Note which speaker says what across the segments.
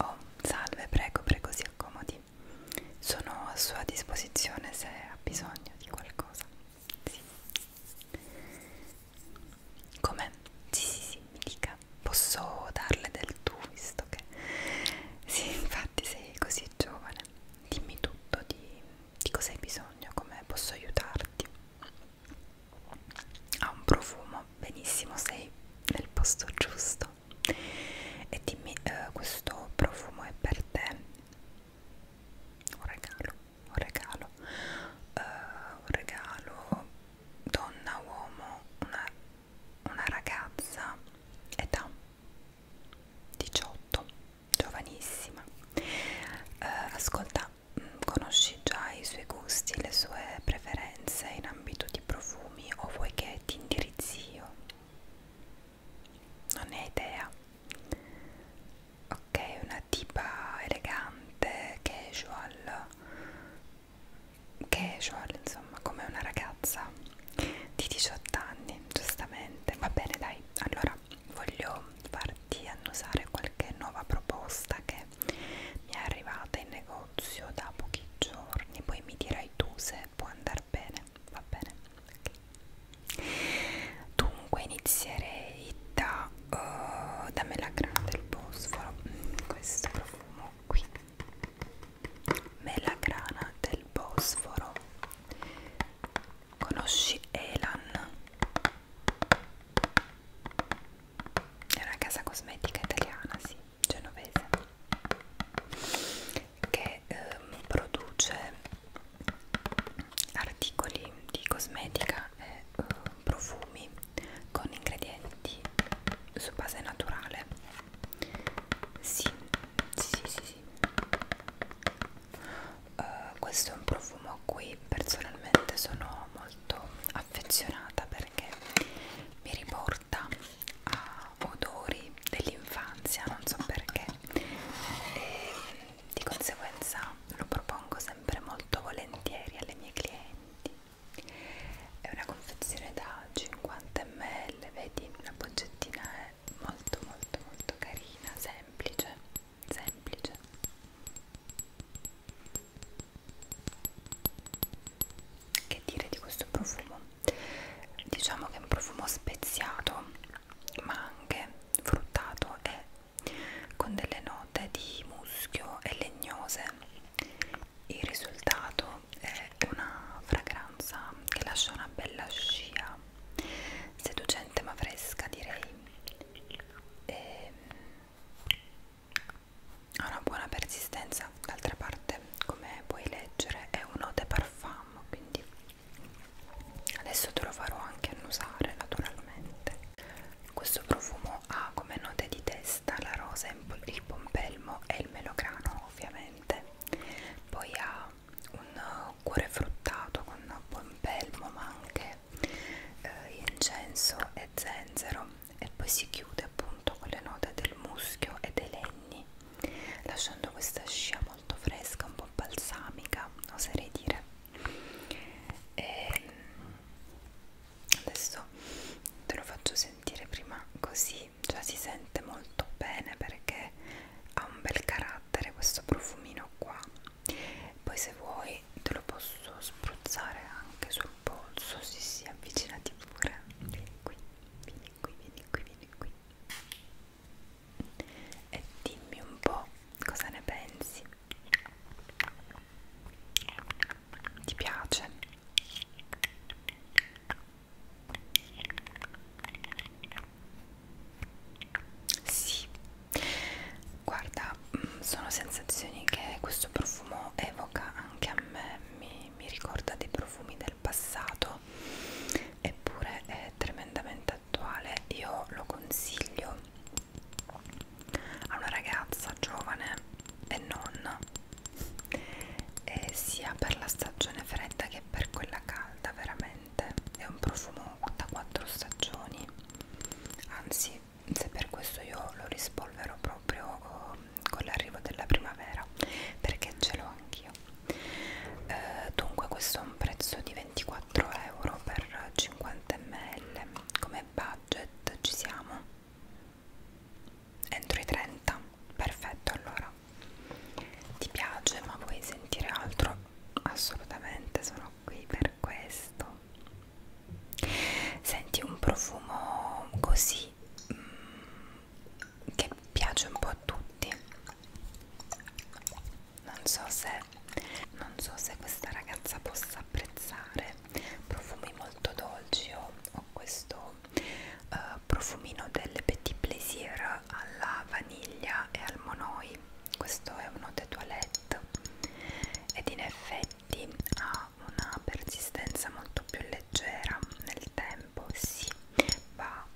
Speaker 1: Oh, salve, prego, prego, si accomodi. Sono a sua disposizione se ha bisogno di qualcosa. Sì. Come? Sì, sì, sì, mi dica. Posso darle del tu, visto che... Sì, infatti sei così giovane. Dimmi tutto di, di cosa hai bisogno, come posso aiutarti. Ha un profumo, benissimo, sei nel posto giusto e dimmi eh, questo profumo è per te un regalo un regalo uh, un regalo donna uomo una, una ragazza età 18 giovanissima uh, ascolta mm, conosci già i suoi gusti le sue preferenze in ambito di profumi nomi o vuoi che ti indirizzi io? Non ne hai idea. Ok, una tipa elegante, casual, casual insomma, come una ragazza di 18 anni, giustamente. Va bene, dai, allora voglio farti annusare qualche nuova proposta che mi è arrivata in negozio negozio da pochi giorni, poi mi dirai tu se può andare bene, va bene? Okay. Dunque inizierei da uh, eh, Damela Grande del Bosforo, mm, questo profumo qui melagrana del Bosforo conosci Elan è una casa cosmetica italiana sì genovese che ehm, produce articoli di cosmetica e eh, profumi con ingredienti su base naturale sì sì sì, sì, sì. Uh, questo è un profumo a cui personalmente sono molto affezionata perché mi riporta a odori dell'infanzia, non so perché, e di conseguenza lo propongo sempre molto volentieri alle mie clienti. È una confezione da 50 ml, vedi la boccettina è molto molto molto carina, semplice, semplice. Che dire di questo profumo? diciamo che è un profumo speziato ma anche fruttato e con delle note di muschio e legnose il risultato è una fragranza che lascia una bella scia seducente ma fresca direi e ha una buona persistenza rosa d'altra parte come puoi leggere è un eau de parfum quindi adesso te lo farò anche annusare naturalmente questo profumo ha come note di testa la rosa, il pompelmo e il melograno ovviamente poi ha un cuore fruttato con pompelmo ma anche eh, incenso e zenzero e poi si chiude appunto con le note del muschio e dei legni lasciando questa scia molto fresca, un po' balsamica, oserei dire. E adesso te lo faccio sentire prima così, cioè si sente molto bene perché ha un bel carattere questo profumino qua. Poi se vuoi te lo posso spruzzare anche sul polso, sì sì, avvicinati pure. Vieni qui, vieni qui, vieni qui, vieni di qui e dimmi un po' cosa ne pensi ti piace sì guarda mm, sono sensazioni che questo profumo evoca anche a me mi, mi ricorda dei profumi del passato eppure è tremendamente attuale io lo consiglio a una ragazza giovane e non e sia per la stagione fredda che per quella calda veramente è un profumo da quattro stagioni anzi se per questo io lo rispolvero proprio oh, con l'arrivo della primavera perché ce l'ho anch'io eh, dunque questo è un prezzo di 24 euro per 50 ml come budget ci siamo entro i 30 perfetto allora ti piace ma vuoi sentire altro assolutamente sono qui per questo senti un profumo così mm, che piace un po' a tutti non so se non so se questa ragazza possa apprezzare profumi molto dolci o, o questo uh, profumino del petit plaisir alla vaniglia e al monoi questo è uno de toilette ed in effetti ha una persistenza molto più leggera nel tempo si sì, va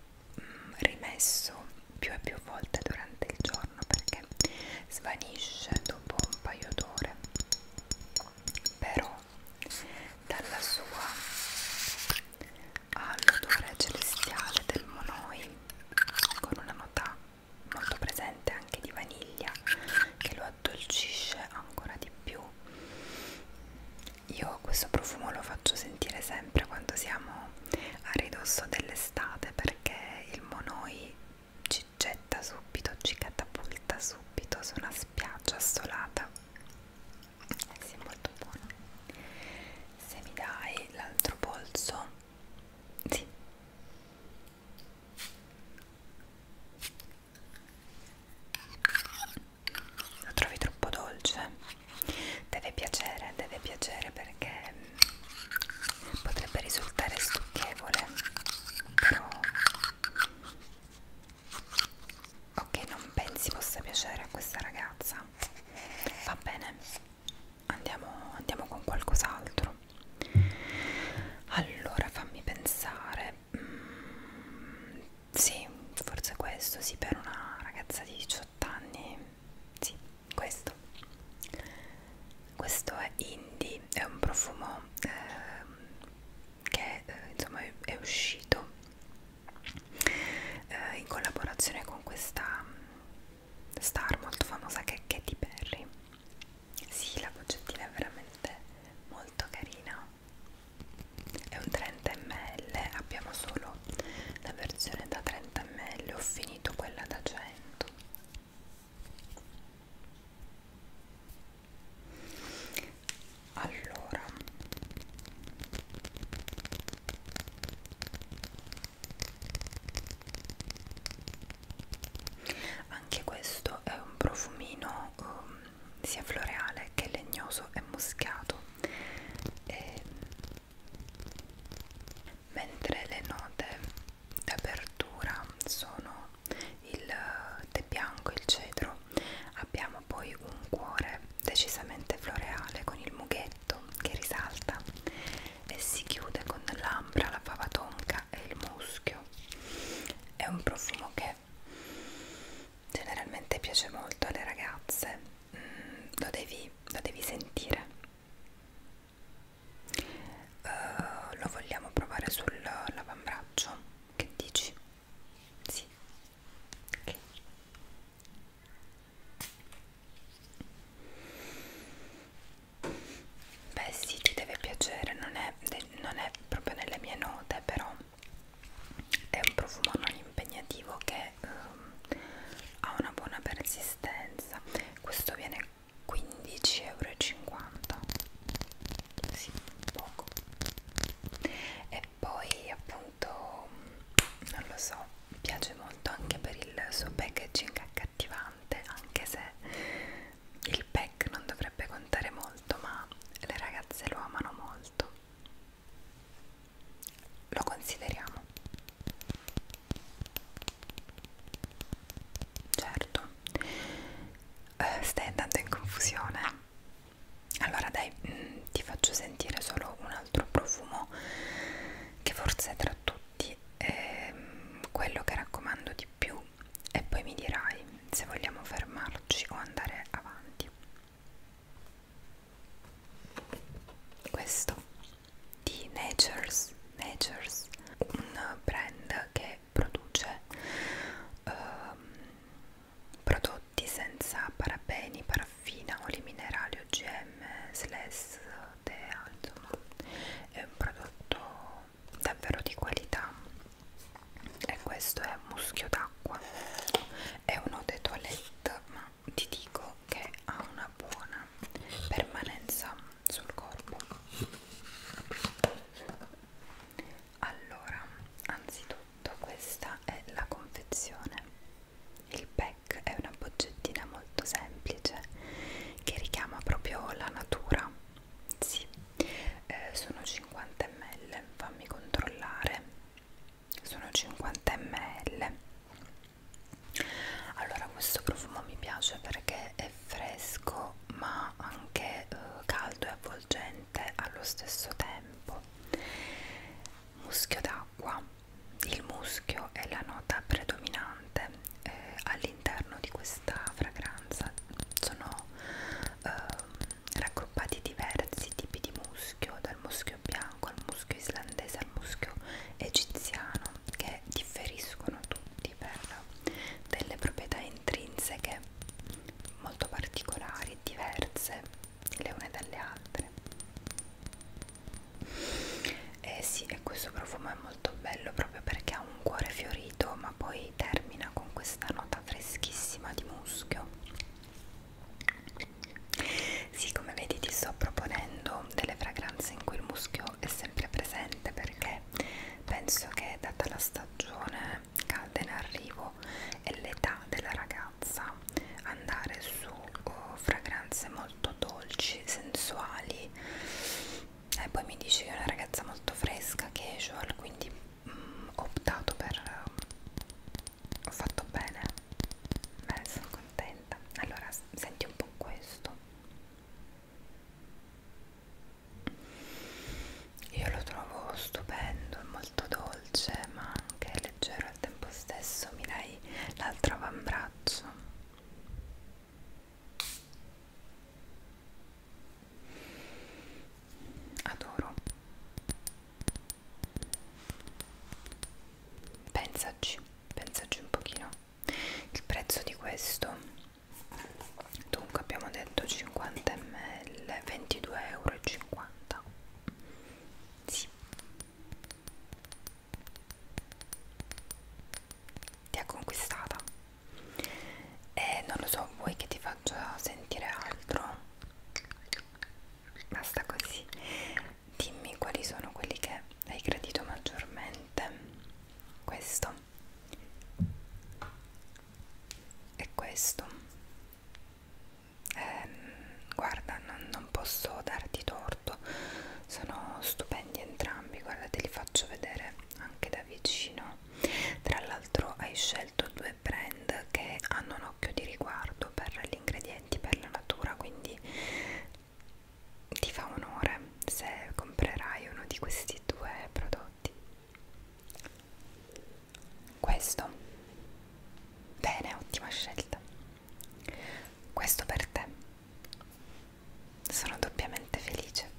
Speaker 1: rimesso più e più volte durante il giorno perché svanisce dopo un paio d'ore però dalla sua all'odore celestiale del monoi con una nota molto presente anche di vaniglia che lo addolcisce ancora di più io questo profumo lo faccio sentire sempre quando siamo a ridosso dell'estate perché il monoi ci getta subito, ci catapulta subito su una spiaggia assolata. Eh sì, è molto buono. Se mi dai l'altro polso, sì lo trovi troppo dolce deve piacere deve piacere perché mm, potrebbe risultare stucchevole però ok non pensi possa piacere a questa ragazza va bene andiamo, andiamo con qualcos'altro allora fammi pensare mm, sì, forse questo, sì, per una ragazza di 18 anni, sì, questo. Questo è Indie, è un profumo eh, che eh, insomma è, è uscito eh, in collaborazione con questa star molto famosa che è Katy Perry. Sì, la poggettina è veramente molto carina è un 30 ml abbiamo solo la versione da 30 ml ho finito quella da 100 allora anche questo è un profumino um, sia floreale che legnoso e muscato e, mentre le note d'apertura sono il tè bianco e il cedro abbiamo poi un cuore decisamente floreale con il mughetto che risalta e si chiude con l'ambra, la fava tonca e il muschio è un profumo che generalmente piace molto alle ragazze lo devi, lo devi sentire uh, lo vogliamo provare sull'avambraccio che dici? sì okay. beh sì ti deve piacere non è, non è proprio nelle mie note però è un profumo non impegnativo che um, ha una buona persistenza questo viene 15,50 euro sì, poco e poi appunto non lo so mi piace molto anche per il suo packaging accattivante anche se il pack non dovrebbe contare molto ma le ragazze lo amano molto lo consideriamo certo eh, stai andando in confusione allora dai mh, mm, ti faccio sentire solo un altro profumo che forse tra tutti è ehm, quello che raccomando di più e poi mi dirai se vogliamo fermarci o andare avanti questo di Nature's, Nature's un brand che produce um, prodotti senza parabeni, paraffina, oli minerali, OGM, SLES, DEA, insomma è un prodotto davvero di qualità e questo è muschio d'acqua è uno dei toilette ma ma ti dico che ha una buona permanenza sul corpo allora anzitutto questa è la confezione il pack è una boccettina molto semplice che richiama proprio la natura sì eh, sono 50 ml fammi controllare sono 50 ml allora questo profumo mi piace perché è fresco ma anche eh, caldo e avvolgente allo stesso tempo muschio d'acqua il muschio è la nota predominante eh, all'interno di questa fragranza sono eh, raggruppati diversi tipi di muschio dal muschio muschio bianco al muschio islandese al muschio egiziano che differiscono tutti per delle proprietà intrinseche molto particolari e diverse le une dalle altre e eh sì e questo profumo è molto bello proprio perché ha un cuore fiorito ma poi termina con questa nota freschissima di muschio sì, come vedi ti sto proponendo delle fragranze in cui il muschio è sempre presente perché penso che data la stagione calda in arrivo e l'età della ragazza andare su oh, fragranze molto dolci, sensuali e poi mi dici che è una ragazza molto fresca, casual, quindi mh, mm, ho optato per ho fatto bene beh sono contenta allora senti un po' questo io lo trovo stupendo, molto dolce ma anche leggero al tempo stesso mi dai l'altro avambraccio adoro Pensaci, pensaci un pochino. Il prezzo di questo, dunque abbiamo detto 50 ml, 22,50 euro. Sì. Ti ha conquistata. E non lo so, vuoi che ti faccia sentire altro? Basta così dimmi quali sono quelli che hai gradito maggiormente questo e questo eh, guarda non, non posso darti torto sono stupendi entrambi guarda te li faccio vedere anche da vicino tra l'altro hai scelto due brand che hanno un occhio di riguardo per l'ingrediente progetti per la natura, quindi ti fa onore se comprerai uno di questi due prodotti. Questo. Bene, ottima scelta. Questo per te. Sono doppiamente felice.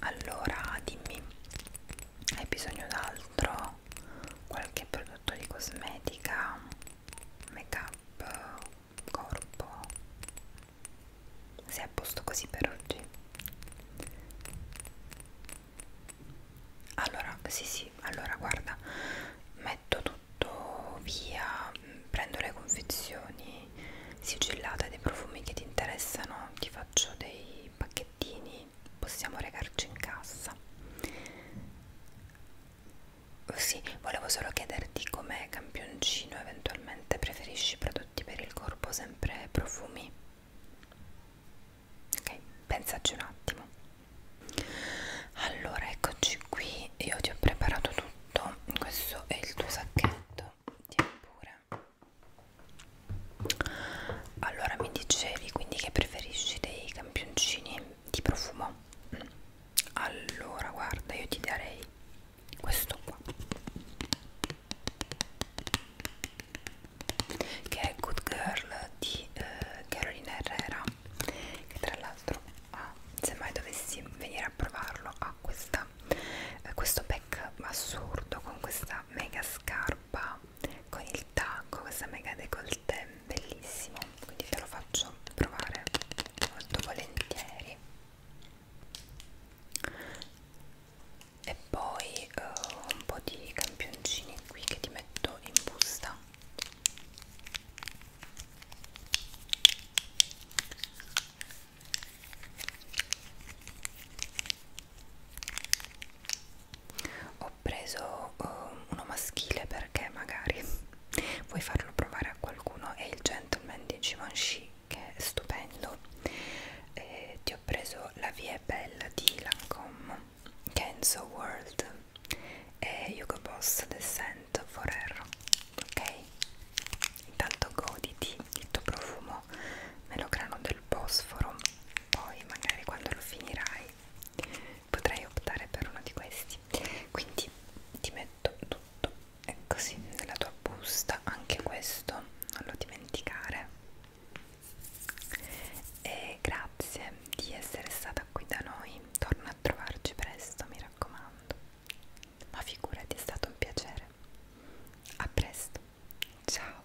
Speaker 1: Allora dimmi, hai bisogno d'altro qualche prodotto di cosmetica make up corpo sei a posto così per oggi allora sì sì allora guarda metto tutto via prendo le confezioni sigillate dei profumi che ti interessano ti faccio dei pacchettini quindi possiamo recarci in cassa sì, volevo solo chiederti com'è campioncino, eventualmente preferisci prodotti per il corpo, sempre profumi? Ok, pensaci un attimo. Allora, eccoci qui, io ti ho preparato tutto, questo è il tuo sacchetto, tieni pure allora mi dicevi quindi che preferisci dei campioncini di profumo allora guarda io ti darei questo qua che è Good Girl di eh, Carolina Herrera che tra l'altro ah, se mai dovessi venire a provarlo ha ah, eh, questo pack assurdo con questa mega scarpa con il tacco, questa mega décolleté bellissimo, quindi te lo faccio provare molto volentieri. E poi uh, un po' di campioncini qui che ti metto in busta ho preso uh, uno maschile perché magari vuoi farlo provare a qualcuno è il gentleman di Givenchy che è stupendo e ti ho preso la Vie Bella di Lancome Kenzo World e Hugo Boss Descent Forever ok? intanto goditi il tuo profumo melograno del bosforo poi magari quando lo finirai potrei optare per uno di questi quindi ti metto tutto e così nella tua busta anche questo non lo dimenticare e grazie di essere stata qui da noi torna a trovarci presto mi raccomando ma figurati è stato un piacere a presto ciao